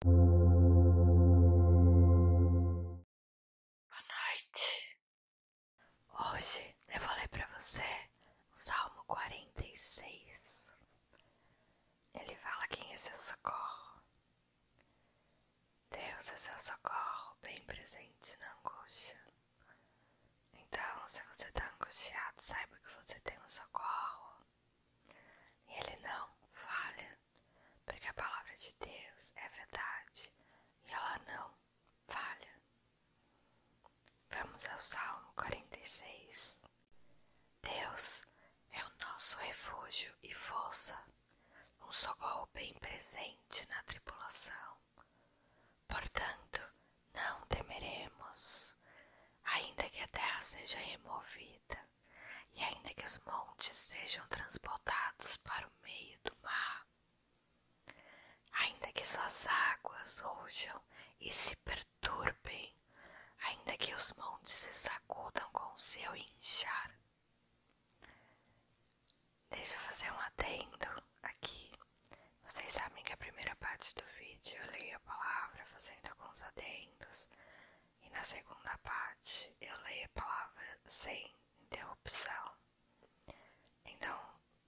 Boa noite. Hoje eu vou ler para você o Salmo 46. Ele fala quem é seu socorro. Deus é seu socorro, bem presente na angústia. Então, se você está angustiado, saiba que você tem um socorro ele não falha, porque a palavra de Deus é verdade e ela não falha. Vamos ao Salmo 46. Deus é o nosso refúgio e força, um socorro bem presente na tribulação. Portanto, não temeremos, ainda que a terra seja removida e ainda que os montes sejam transportados para o meio do mar, ainda que suas águas rujam e se perturbem, ainda que os montes se sacudam com o seu inchar. Deixa eu fazer um adendo aqui. Vocês sabem que a primeira parte do vídeo eu leio a palavra fazendo alguns adendos e na segunda parte eu leio a palavra sem interrupção. Então,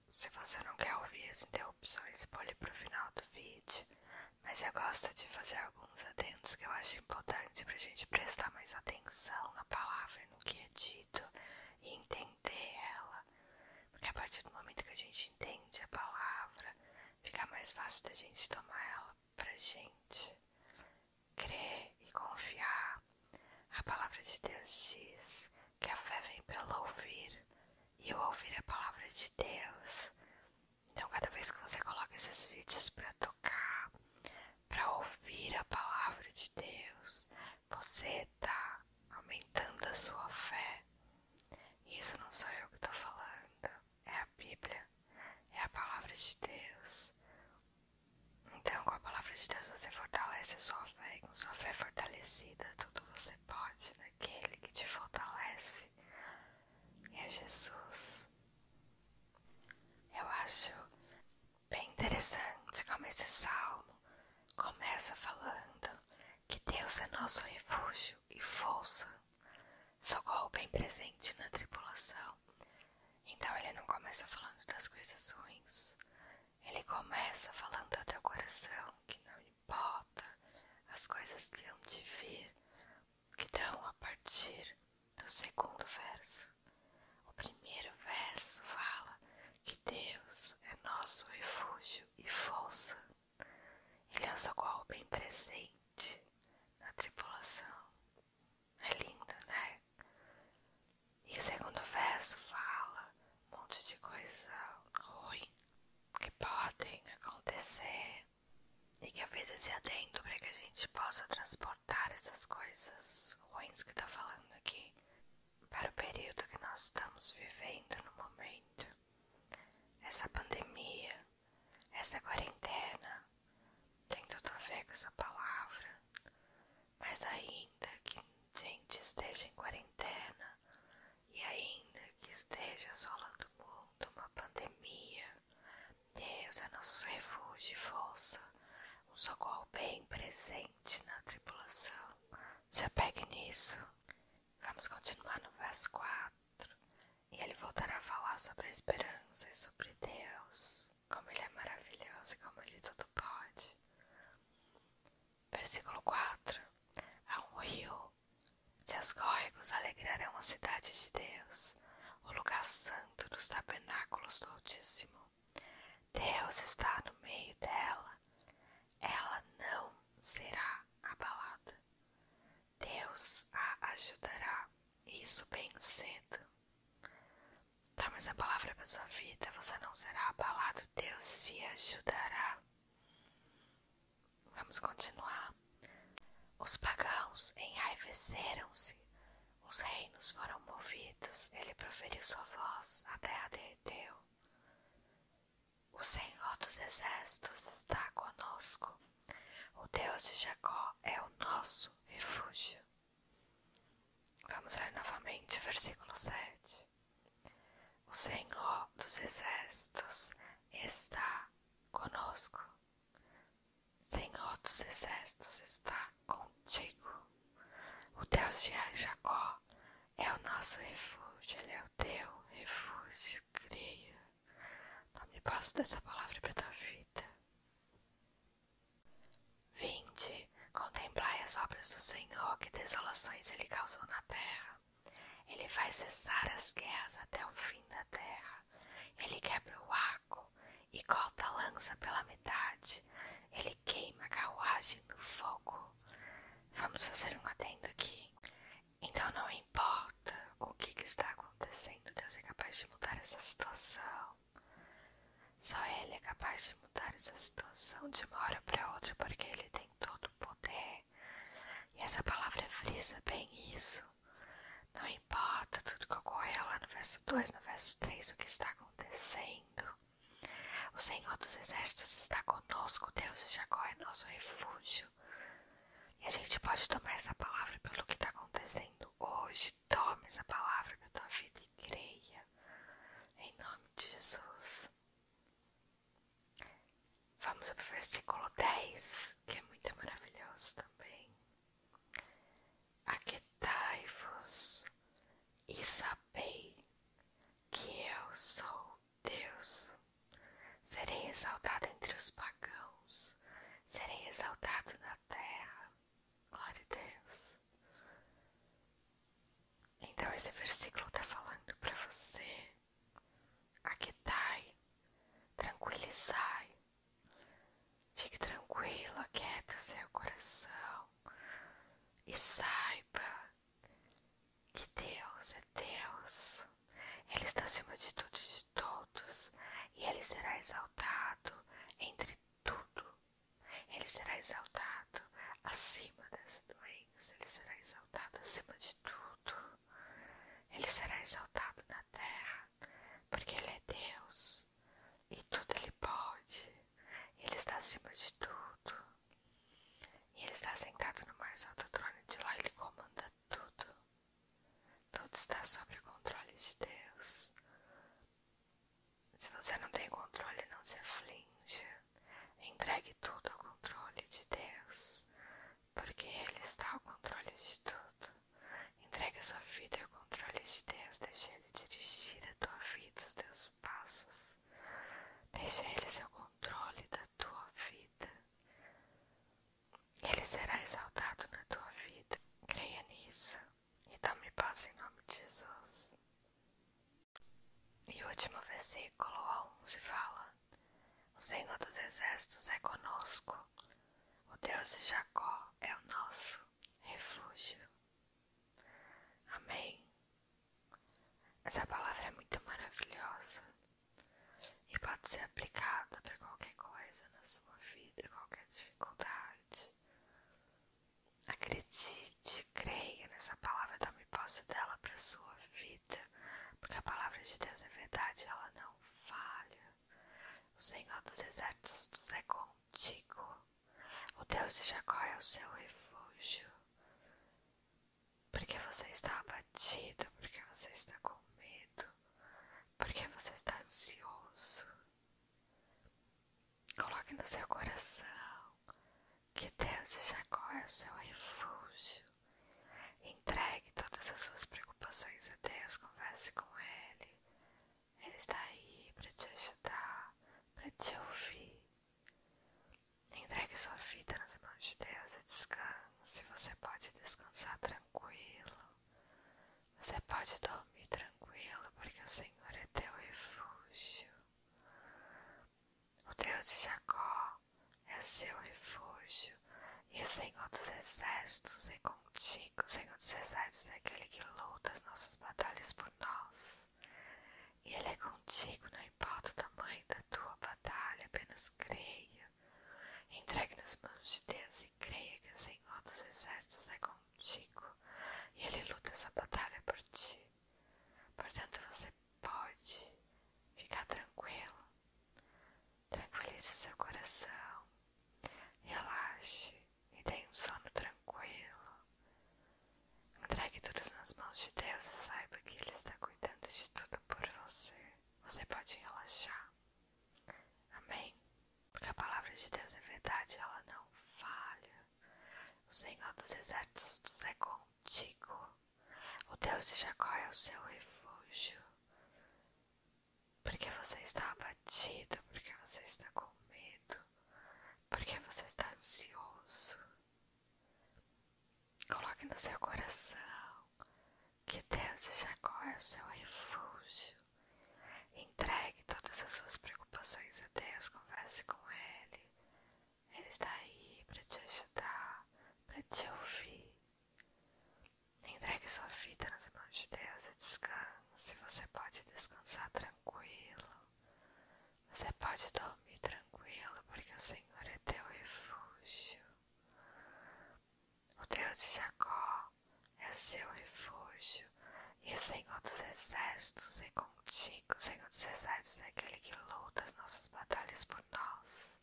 se você não quer ouvir as interrupções, pule para o final do vídeo, mas eu gosto de fazer alguns atentos que eu acho importantes para a gente prestar mais atenção na palavra, no que é dito e entender ela, porque a partir do momento que a gente entende a palavra, fica mais fácil da gente tomar ela pra gente crer e confiar. A palavra de Deus diz que a fé vem pelo ouvir e o ouvir é a palavra de Deus. Então, cada vez que você coloca esses vídeos para tocar, para ouvir a palavra de Deus, você tá aumentando a sua fé. Isso não sou eu que tô falando é a Bíblia, é a palavra de Deus. Então, com a palavra de Deus, você fortalece a sua fé, e com sua fé fortalecida, tudo você pode naquele que te fortalece. é Jesus. Eu acho bem interessante como esse salmo começa falando que Deus é nosso refúgio e força socorro bem presente na tripulação. Então ele não começa falando das coisas ruins. Ele começa falando do teu coração, que não importa as coisas que hão de vir, que dão a partir do segundo verso. O primeiro verso fala que Deus é nosso refúgio e força. Ele é um socorro bem presente na tripulação. É lindo, né? E o segundo verso fala um monte de coisa ruim que podem acontecer e que às vezes esse adendo para que a gente possa transportar essas coisas ruins que está falando aqui para o período que nós estamos vivendo no momento essa pandemia, essa quarentena, tem tudo a ver com essa palavra, mas ainda que gente esteja em quarentena e ainda que esteja assolando o mundo uma pandemia, Deus é nosso refúgio e força, um socorro bem presente na tripulação, Se apegue nisso. Vamos continuar no verso 4. E ele voltará a falar sobre a esperança e sobre Deus, como ele é maravilhoso e como ele tudo pode. Versículo 4. Há um rio. Seus córregos alegrarão a cidade de Deus, o lugar santo dos tabernáculos do Altíssimo. Deus está no meio dela ela, não será abalada. Deus a ajudará, isso bem cedo. Tá, mas a palavra para sua vida, você não será abalado, Deus te ajudará. Vamos continuar. Os pagãos enraiveceram-se, os reinos foram movidos, ele proferiu sua voz, a terra derreteu. O Senhor dos Exércitos está conosco. O Deus de Jacó é o nosso refúgio. Vamos ler novamente o versículo 7. O Senhor dos Exércitos está conosco. Senhor dos Exércitos está contigo. O Deus de Jacó é o nosso refúgio, Ele é o teu refúgio, creia. Tome posse dessa palavra para tua vida. 20. Contemplai as obras do Senhor, que desolações Ele causou na terra. Ele faz cessar as guerras até o fim da terra. Ele quebra o arco e corta a lança pela metade. Ele queima a carruagem no fogo. Vamos fazer um adendo aqui. Então não importa o que, está acontecendo, Deus é capaz de mudar essa situação. Só Ele é capaz de mudar essa situação de uma hora para outra, porque Ele tem todo o poder. E essa palavra frisa bem isso. Não importa tudo que ocorre lá no verso 2, no verso 3, o que está acontecendo. O Senhor dos Exércitos está conosco, Deus de Jacó é nosso refúgio. E a gente pode tomar essa palavra pelo que está acontecendo hoje. Tome essa palavra para tua vida e creia. Em nome de Jesus. Vamos para o versículo 10, que é muito maravilhoso também. Aquetai-vos e sabei que eu sou Deus. Serei exaltado entre os pagãos, serei exaltado na terra. Glória a Deus. Então, esse versículo está falando para você: aquietai, tranquilizai, fique tranquilo, aquieta seu coração e saiba que Deus é Deus, Ele está acima de tudo e de todos, e Ele será exaltado entre tudo, Ele será exaltado acima das doenças Ele será exaltado acima de tudo, Ele será exaltado na terra, porque Ele é Deus e tudo Ele pode. Ele está acima de tudo. E ele está sentado no mais alto trono de lá, ele comanda tudo. Tudo está sob o controle de Deus. Se você não tem controle, não se aflinja. Entregue tudo ao controle de Deus, porque Ele está ao controle de tudo. Entregue sua vida ao controle de Deus, deixe Ele dirigir a tua vida dos teus passos, deixa Ele ser o controle da tua vida. Ele será exaltado na tua vida. Creia nisso e tome paz em nome de Jesus. E o último versículo 11 fala: O Senhor dos Exércitos é conosco, o Deus de Jacó é o nosso refúgio. Amém. Essa palavra é muito maravilhosa e pode ser aplicada para qualquer coisa na sua vida, qualquer dificuldade. Acredite, creia nessa palavra, tome posse dela para sua vida, porque a palavra de Deus é verdade, ela não falha. O Senhor dos Exércitos é contigo. O Deus de Jacó é o seu refúgio. Porque você está abatido, porque você está com medo, porque você está ansioso. Coloque no seu coração que Deus de Jacó é o seu refúgio. Entregue todas as suas preocupações a Deus, converse com Ele, ele está aí para te ajudar, para te ouvir. Entregue sua vida nas mãos de Deus e descanse. Você pode descansar tranquilo. Você pode dormir tranquilo, porque o Senhor é teu refúgio. O Deus de Jacó é seu refúgio, e o é Senhor dos Exércitos é com Contigo, Senhor dos Exércitos, é aquele que luta as nossas batalhas por nós. E Ele é contigo, não importa o tamanho da tua batalha, apenas creia. Entregue nas mãos de Deus e creia que o Senhor dos Exércitos é contigo e Ele luta essa batalha por ti. Portanto, você pode ficar tranquilo. Tranquilize seu coração. Relaxe e tenha um sono tranquilo. Entregue todos nas mãos de Deus e saiba que Ele está cuidando de tudo por você. Você pode relaxar. Amém? Porque a palavra de Deus é verdade, ela não falha. O Senhor dos exércitos é contigo. O Deus de Jacó é o seu refúgio porque você está abatido, porque você está com medo, porque você está ansioso. Coloque no seu coração que Deus de Jacó é o seu refúgio. Entregue todas as suas preocupações a Deus, converse com Ele. Ele está aí para te ajudar, para te ouvir. Entregue sua vida nas mãos de Deus e descanse. Você pode descansar tranquilo. Você pode dormir tranquilo, porque o Senhor é teu refúgio. O Deus de Jacó é o seu refúgio. E o Senhor dos Exércitos é contigo. O Senhor dos Exércitos é aquele que luta as nossas batalhas por nós.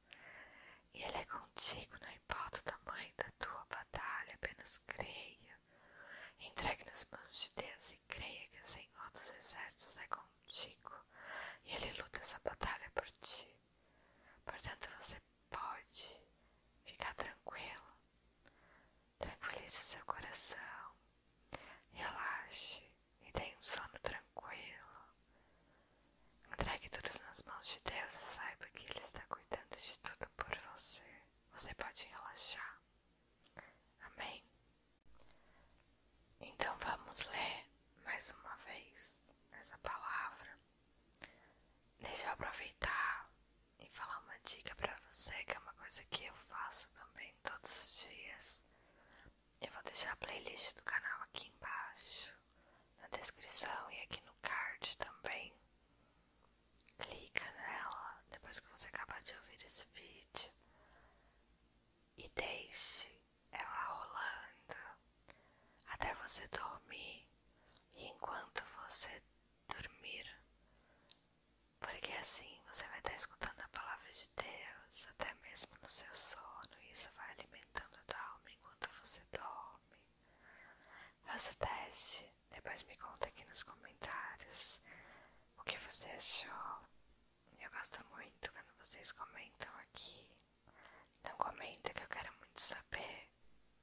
E Ele é contigo, não importa o tamanho da tua batalha, apenas creia. Entregue nas mãos de Deus e creia que o Senhor dos Exércitos é contigo e Ele luta essa batalha por ti. Portanto, você pode ficar tranquilo. Tranquilize seu coração, relaxe e tenha um sono tranquilo. Entregue todos nas mãos de Deus e saiba que Ele está cuidando de tudo por você, você pode relaxar. Amém? Então vamos ler mais uma vez essa palavra. Deixa eu aproveitar e falar uma dica para você, que é uma coisa que eu faço também todos os dias. Eu vou deixar a playlist do canal aqui embaixo, na descrição e aqui no card também clica nela depois que você acabar de ouvir esse vídeo e deixe ela rolando até você dormir e enquanto você dormir, porque assim você vai estar escutando a palavra de Deus até mesmo no seu sono e isso vai alimentando a tua alma enquanto você dorme. Faça o teste, depois me conta aqui nos comentários o que você achou. Eu gosto muito quando vocês comentam aqui. Então comenta que eu quero muito saber.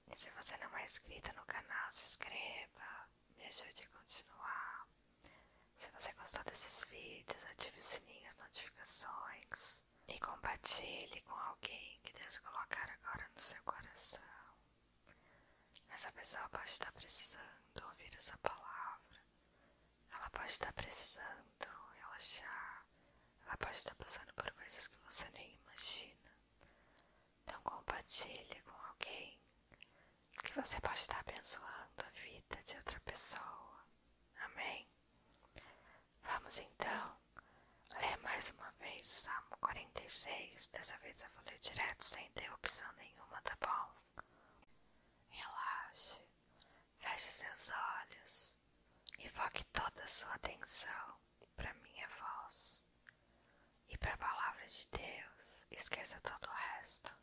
E se você não é inscrita no canal, se inscreva. Me ajude a continuar. Se você gostou desses vídeos, ative o sininho as notificações e compartilhe com alguém que Deus colocar agora no seu coração. Essa pessoa pode estar precisando ouvir essa palavra, ela pode estar precisando relaxar, ela pode estar passando por coisas que você nem imagina. Então compartilhe com alguém que você pode estar abençoando a vida de outra pessoa. Amém? Vamos então ler mais uma vez o Salmo 46. Dessa vez eu vou ler direto, sem interrupção nenhuma, tá bom? Relaxe, feche seus olhos e foque toda a sua atenção para minha voz e para a palavra de Deus. Esqueça todo o resto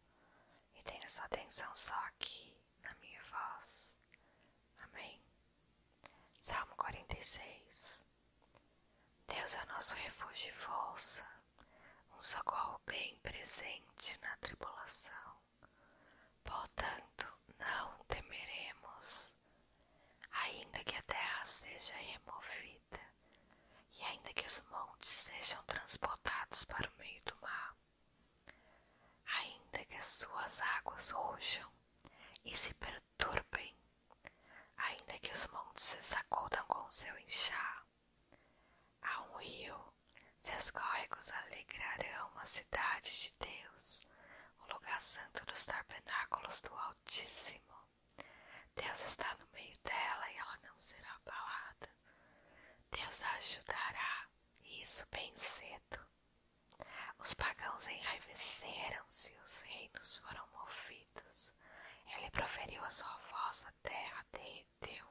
e tenha sua atenção só aqui na minha voz. Amém. Salmo 46 Deus é nosso refúgio e força, um socorro bem presente na tribulação. Portanto, não temeremos, ainda que a terra seja removida e ainda que os montes sejam transportados para o meio do mar ainda que as suas águas rujam e se perturbem, ainda que os montes se sacudam com seu inchar. Há um rio, seus córregos alegrarão a cidade de Deus, o lugar santo dos tabernáculos do Altíssimo. Deus está no meio dela e ela não será abalada. Deus a ajudará, e isso bem cedo. Os pagãos enraiveceram-se os reinos foram movidos. Ele proferiu a sua voz, a terra derreteu.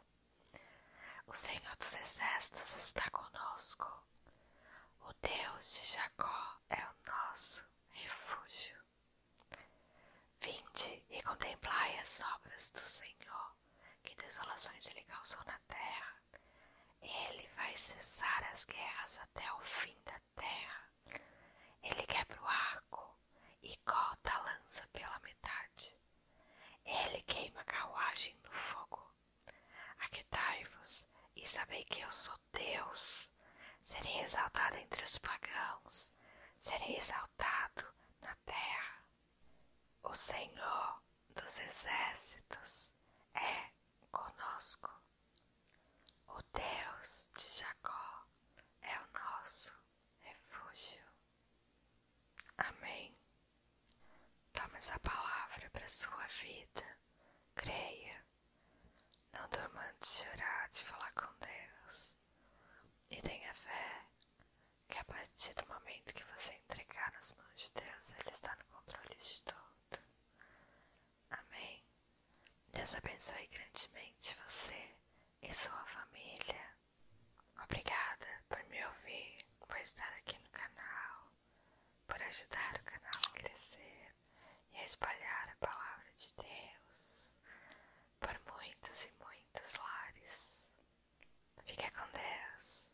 O Senhor dos Exércitos está conosco. O Deus de Jacó é o nosso refúgio. Vinde e contemplai as obras do Senhor, que desolações ele causou na terra. Ele vai cessar as guerras até o fim da terra. Ele quebra o arco e corta a lança pela metade. Ele queima a carruagem no fogo. Aquetai-vos e sabei que eu sou Deus. Serei exaltado entre os pagãos. Serei exaltado na terra. O Senhor dos Exércitos é conosco. O Deus de Jacó é o nosso refúgio. Amém. Toma a palavra para sua vida. Creia. Não dormando de chorar, de falar com Deus. E tenha fé que a partir do momento que você entregar nas mãos de Deus, Ele está no controle de tudo. Amém? Deus abençoe grandemente você e sua família. Obrigada por me ouvir, por estar aqui no canal, por ajudar o canal a crescer e a espalhar a palavra de Deus por muitos e muitos lares. Fique com Deus.